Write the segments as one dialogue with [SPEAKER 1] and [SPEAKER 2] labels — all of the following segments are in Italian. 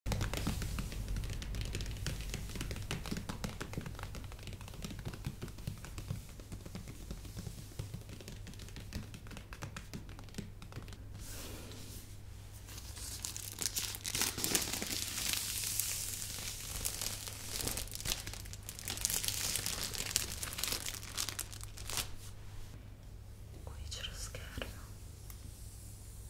[SPEAKER 1] Qui c'è lo schermo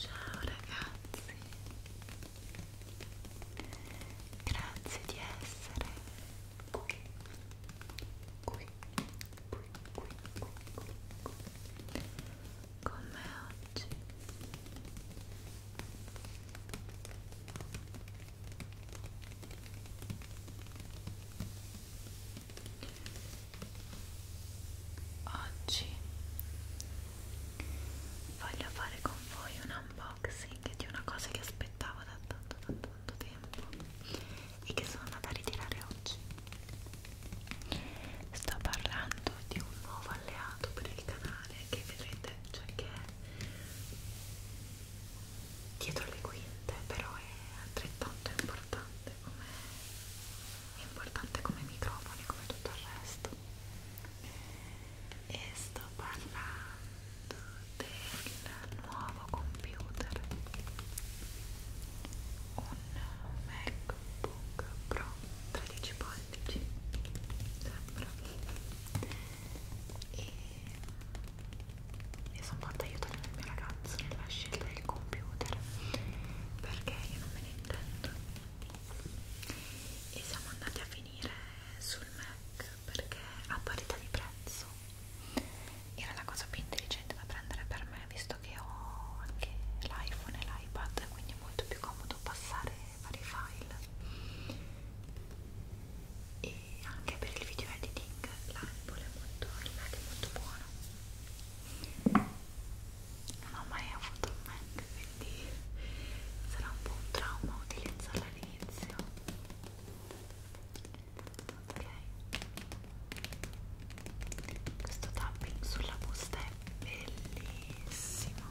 [SPEAKER 1] Ciao ragazzi, grazie di essere qui, qui, qui, qui, qui, qui. Come oggi. Oggi voglio fare con voi un unboxing di una cosa che aspettavo da tanto, da tanto tempo e che sono andata a ritirare oggi. Sto parlando di un nuovo alleato per il canale che vedrete, cioè che è dietro le quinte, però è altrettanto importante come importante come microfoni, come tutto il resto. E sto parlando del nuovo computer un MacBook Pro 13 pollici sembra e mi sono fatta aiutare dal mio ragazzo nella scelta del computer perché io non me ne intendo e siamo andati a finire sul Mac perché a parità di prezzo era la cosa più intelligente da prendere per me visto che ho anche l'iPhone e l'iPad quindi è molto più comodo passare vari file e anche per il video editing l'Apple è molto, è molto buono non ho mai avuto un Mac quindi sarà un po' un trauma utilizzarla all'inizio ok questo tapping sulla busta è bellissimo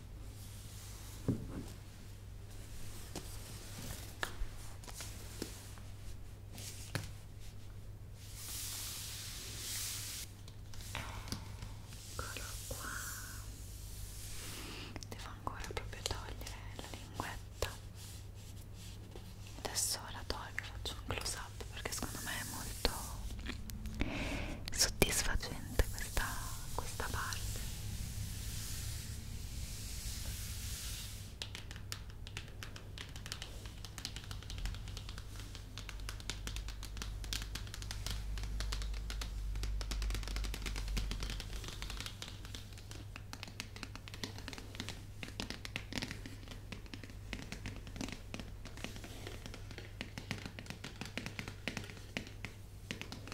[SPEAKER 1] Eccolo qua. Devo ancora proprio togliere la linguetta. Adesso la tolgo, faccio un close up perché secondo me è molto soddisfacente interessante questa, questa parte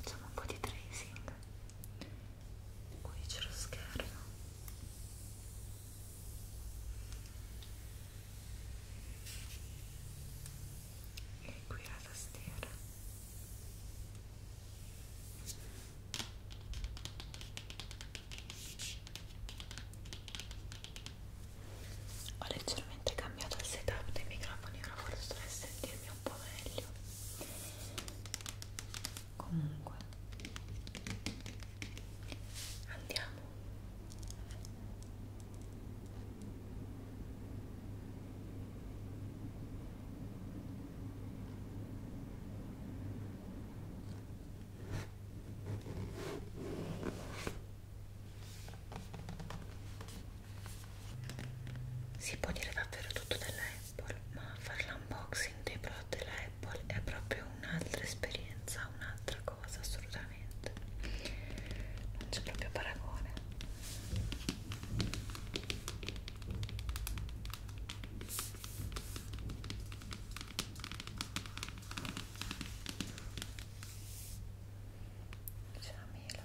[SPEAKER 1] Facciamo un po' di tracing. Qui c'è lo schermo e qui la tastiera ho leggermente cambiato il setup dei microfoni ora forse dovrei sentirmi un po' meglio comunque andiamo si può dire davvero tutto della Apple, ma fare l'unboxing dei prodotti della Apple è proprio un'altra esperienza, un'altra cosa assolutamente non c'è proprio paragone c'è la mela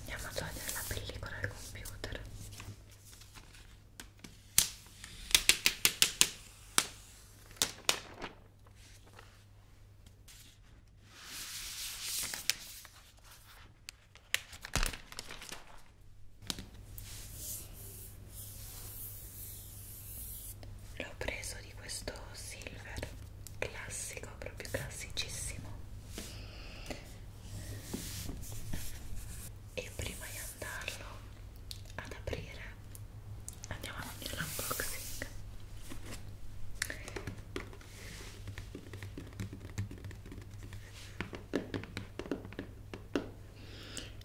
[SPEAKER 1] andiamo a togliere la pellicola al computer L'ho preso di questo silver classico, proprio classicissimo e prima di andarlo ad aprire andiamo avanti nell'unboxing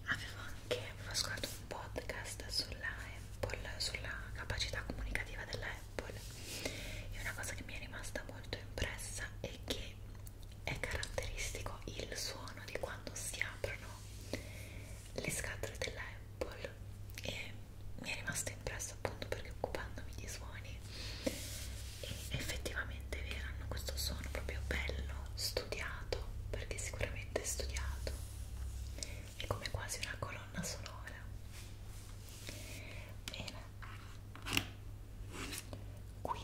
[SPEAKER 1] avevo anche avevo ascoltato un podcast sulla Apple sulla capacità comunicativa della Apple e una cosa che mi è rimasta molto impressa è che poi è caratteristico il suono di quando si aprono le scatole della Apple e mi è rimasto impresso appunto perché occupandomi di suoni e effettivamente vi hanno questo suono proprio bello, studiato perché sicuramente è studiato è come quasi una colonna sonora Bene. Qui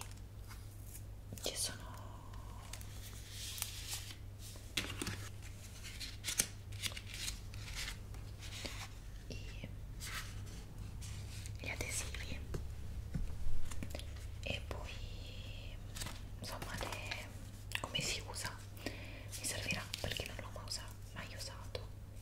[SPEAKER 1] ci sono i, gli adesivi e poi insomma le, come si usa mi servirà perché non l'ho mai usato, mai usato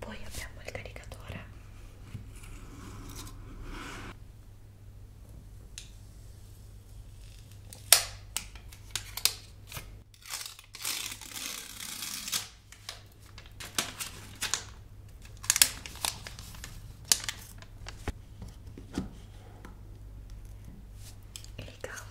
[SPEAKER 1] poi abbiamo il caricatore il cavo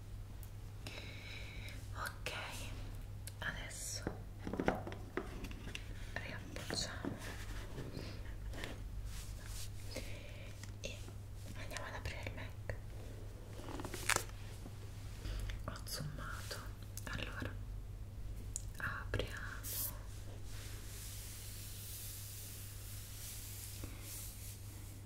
[SPEAKER 1] ok adesso riappoggiamo e andiamo ad aprire il Mac ho zoomato allora apriamo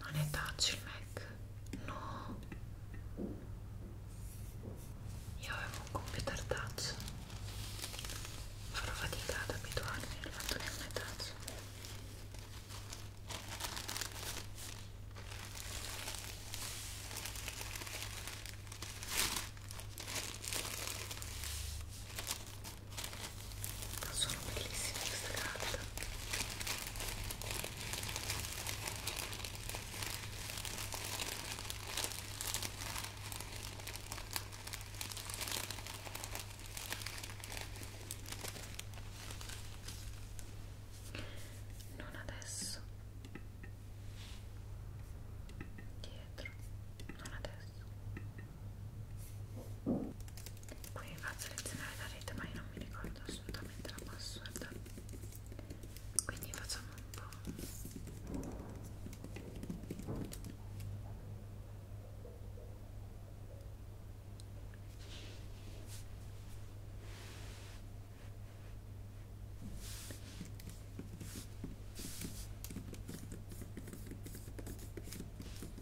[SPEAKER 1] Non è touch il Mac? No. Io avevo un computer touch. Farò fatica ad abituarmi al fatto che non è touch. Sono bellissime queste carte non adesso dietro non adesso qui vi faccio selezionare la rete ma io non mi ricordo assolutamente la password quindi facciamo un po'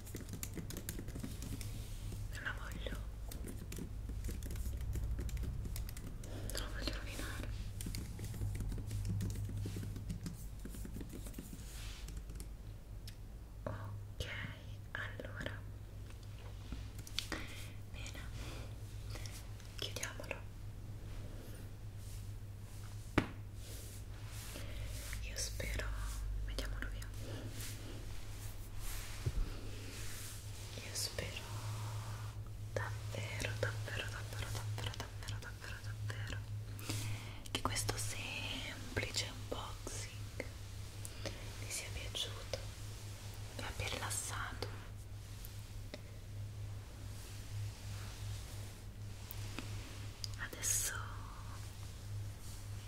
[SPEAKER 1] non la voglio non la voglio rovinare ok allora bene chiudiamolo io spero mettiamolo via io spero davvero davvero davvero davvero davvero davvero davvero che questo semplice unboxing vi sia piaciuto vi abbia rilassato adesso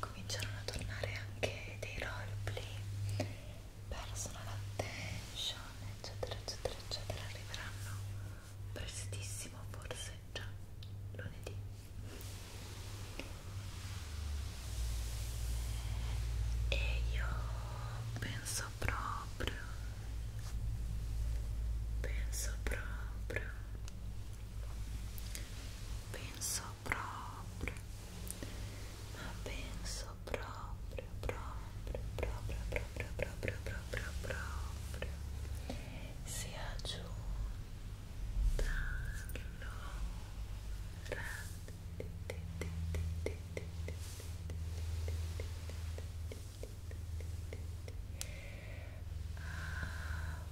[SPEAKER 1] cominciarono a tornare anche dei roleplay personal attention eccetera eccetera eccetera arriveranno prestissimo forse già lunedì e io penso proprio penso proprio penso proprio ma penso proprio proprio proprio proprio proprio proprio proprio sia giunta l'ora Aprire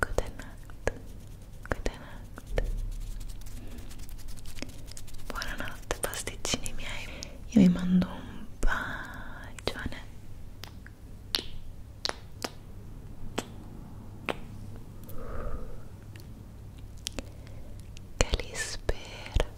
[SPEAKER 1] Goodnight. Goodnight. Buonanotte pasticcini miei. Io vi mando un bacione. Che li spero.